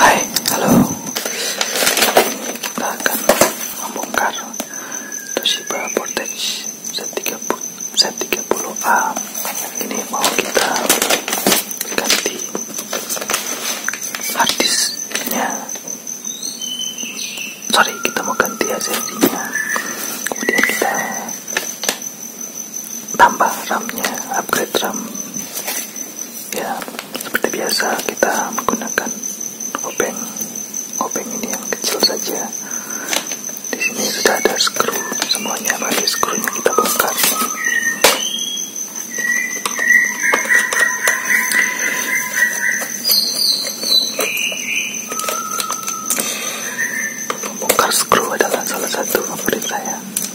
Hai, halo. Kita akan membongkar Toshiba Vortex 30 Z30A. Ini mau kita ganti harddisknya. Sorry, kita mau ganti esensinya. Kemudian kita tambah ramnya upgrade RAM. Ya, seperti biasa kita menggunakan obeng. Obeng ini yang kecil saja. Di sini sudah ada skru semuanya, mari skrunya kita bongkar. Bongkar skru adalah salah satu favorit saya.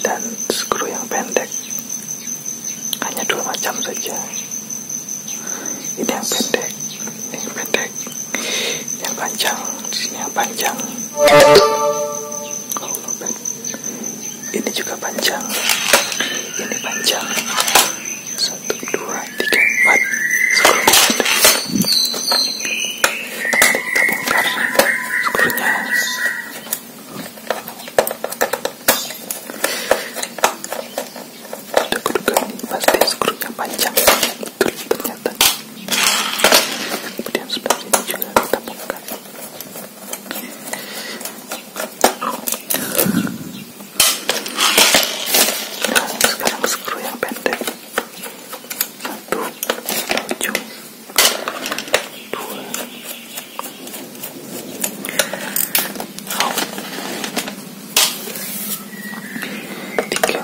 dan skru yang pendek hanya dua macam saja ini yang pendek ini yang pendek ini yang panjang ini yang panjang ini juga panjang ini panjang satu dua tiga empat skru pendek kita, kita bongkar sekurnya udah kuduga pasti skurnya panjang betul ternyata kemudian sebelah juga kita bongkar nah, sekarang skru yang pendek satu tujuh dua oh. tiga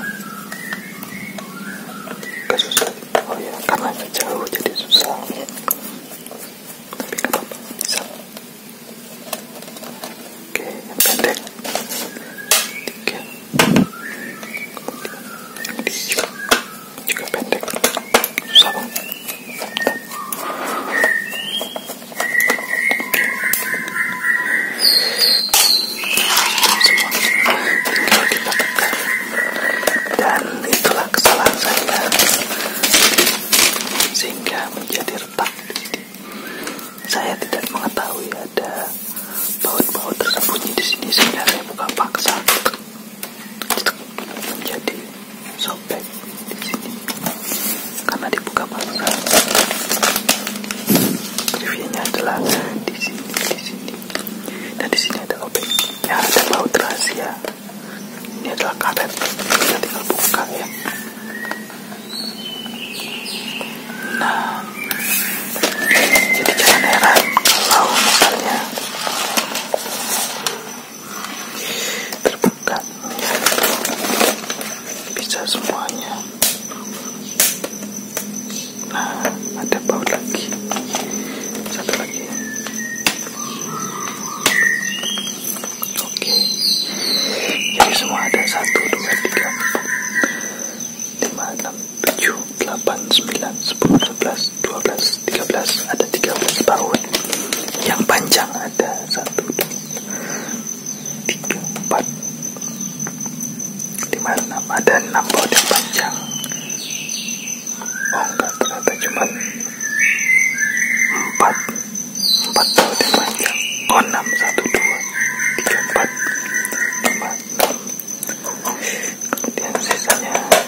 gak oh ya karena jauh jadi susah tapi gak apa-apa bisa oke yang pendek juga, pendek dan itulah kesalahan saya sehingga menjadi retak saya tidak mengetahui ya ada baut-baut tersembunyi di sini sebenarnya buka paksa menjadi sobek di sini karena dibuka paksa reviewnya adalah di sini di sini dan di sini ada obeng yang ada baut rahasia ini adalah karet kita tinggal buka ya Nah, jadi jangan heran kalau misalnya terbuka bisa semuanya. Nah, ada bau lagi, satu lagi. Oke. Jadi semua ada satu, dua, tiga, empat, lima, enam, tujuh, delapan, sembilan, sepuluh, sebelas, dua belas, tiga belas. ada tiga belas tahun. Yang panjang ada satu, 2 3 4 5 6 ada enam baut yang panjang. Oh enggak ternyata cuma empat empat baut panjang enam satu dua tiga empat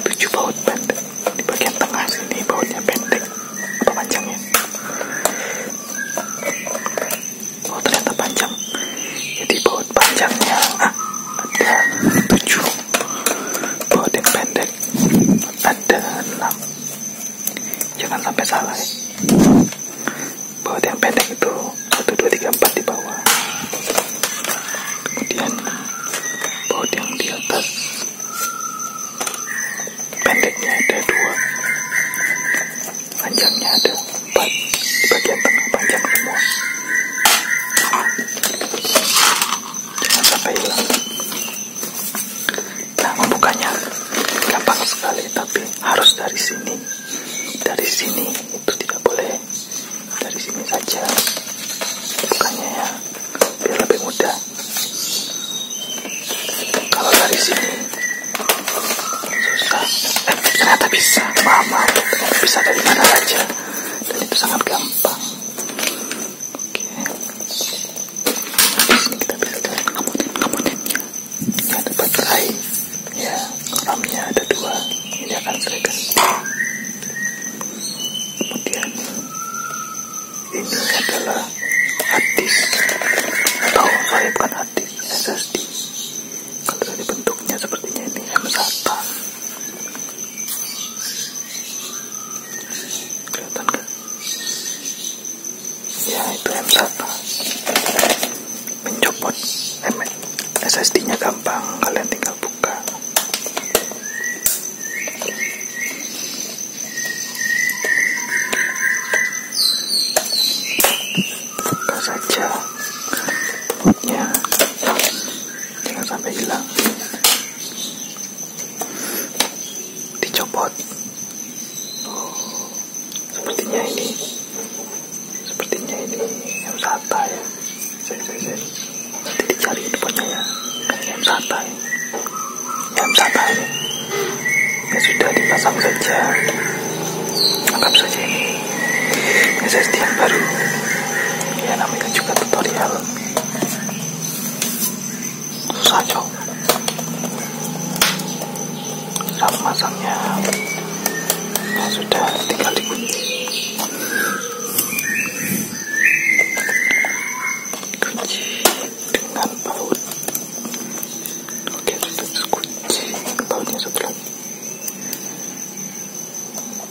tujuh baut pendek di bagian tengah sini bautnya pendek panjangnya ternyata panjang jadi baut panjangnya ada tujuh baut yang pendek ada enam jangan sampai salah ya baut yang pendek itu 1, 2, 3, 4 di bawah kemudian baut yang di atas pendeknya ada dua panjangnya ada empat di bagian tengah panjang semua jangan sampai hilang Nah membukanya gampang sekali tapi harus dari sini. Dari sini itu tidak boleh. Dari sini saja. Bukannya ya biar lebih mudah. Kalau dari sini susah. Eh, ternyata bisa. Mama gitu. bisa dari mana saja dan itu sangat gampang kita biarkan kemudian-kemudiannya yang dapat ya ramnya ada dua ini akan saya kemudian ini adalah hadis atau saya bukan hadis SSD kalau dari bentuknya sepertinya ini M1 ya itu M1 mencopot SSD nya gampang kalian tinggal buka buka saja bootnya tinggal sampai hilang dicopot sepertinya ini sepertinya ini yang Sata ya saya saya saya nanti dicari depannya ya yang Sata ya yang Sata ya ya sudah dipasang saja anggap saja ini SSD yang baru ya namanya juga tutorial susah cok cara masangnya ya, sudah tinggal dikunci kunci dengan baut oke sudah dikunci, bautnya sudah. Sudah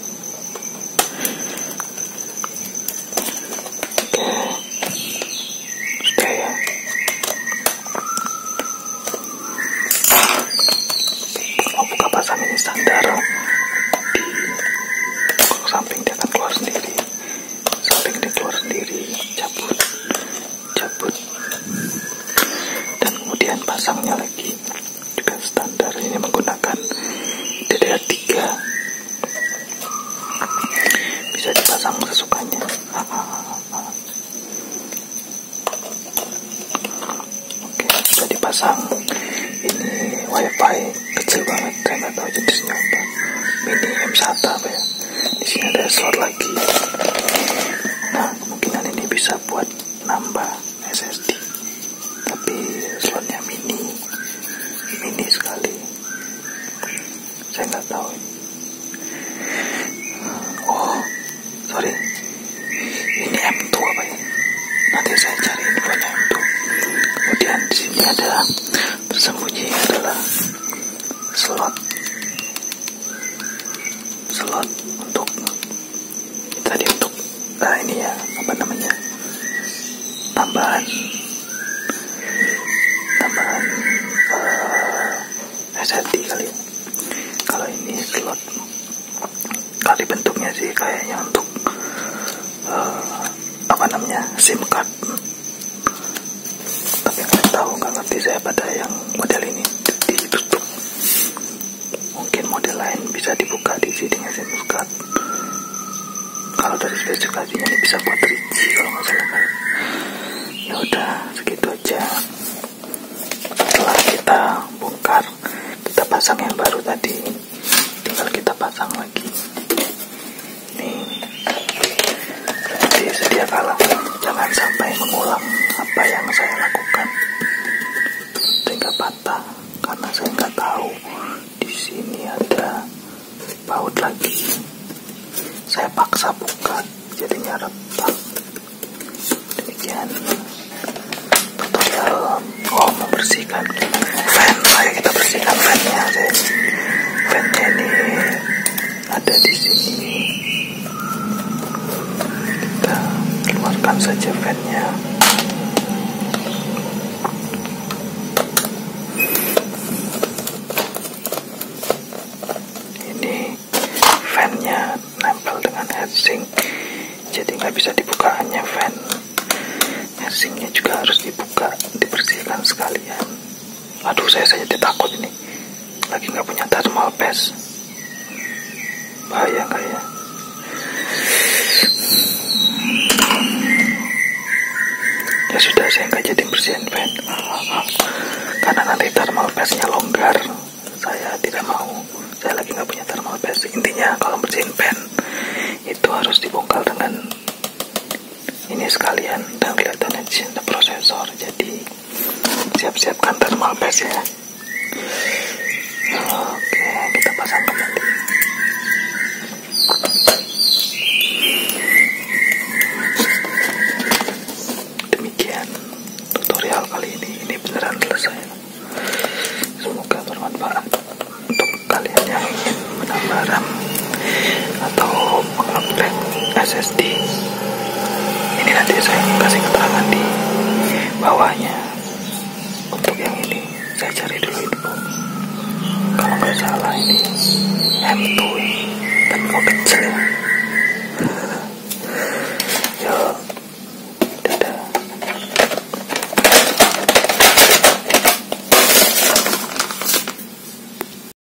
buka pasang standar di samping dia kan keluar sendiri. Samping keluar sendiri, cabut, cabut, dan kemudian pasangnya lagi juga standar ini menggunakan DDR3 bisa dipasang sesukanya oke sudah dipasang ini wifi kecil banget saya nggak tahu jenisnya apa mini M1 apa ya di sini ada slot lagi nah kemungkinan ini bisa buat nambah SSD tapi slotnya mini mini sekali saya nggak tahu oh sorry ini M2 apa ya nanti saya cari infonya M2 kemudian di sini ada tersembunyi adalah slot slot untuk tadi untuk nah ini ya apa namanya tambahan tambahan uh, eh, SSD kali ya. kalau ini slot kali bentuknya sih kayaknya untuk uh, apa namanya SIM card tapi nggak tahu nggak ngerti saya pada yang model ini ditutup mungkin model lain bisa dibuka di sini ya muskat kalau dari spesifikasi ini bisa buat rinci kalau nggak salah kan ya udah segitu aja setelah kita bongkar kita pasang yang baru tadi tinggal kita pasang lagi nih sedia kalah jangan sampai mengulang apa yang saya lakukan sehingga patah karena saya nggak tahu di sini ada baut lagi saya paksa buka jadinya retak demikian tutorial oh bersihkan fan saya kita bersihkan fannya saya ini ada di sini kita keluarkan saja fannya ini fannya nempel dengan heatsink jadi nggak bisa dibuka hanya fan heatsinknya juga harus dibuka dibersihkan sekalian aduh saya saja takut ini lagi nggak punya thermal paste bahaya kayak ya? ya sudah saya nggak jadi bersihin fan karena nanti thermal paste-nya longgar saya tidak mau saya lagi nggak punya thermal paste intinya kalau bersihin fan itu harus dibongkar dengan ini sekalian dan kelihatan di sini ada prosesor jadi siap-siapkan thermal paste ya oke kita pasang kembali demikian tutorial kali ini ini beneran selesai semoga bermanfaat untuk kalian yang ingin menambah RAM atau mengupgrade SSD ini nanti saya kasih keterangan di bawahnya untuk yang ini saya cari dulu itu. kalau nggak salah ini M2 e, dan mau kecil ya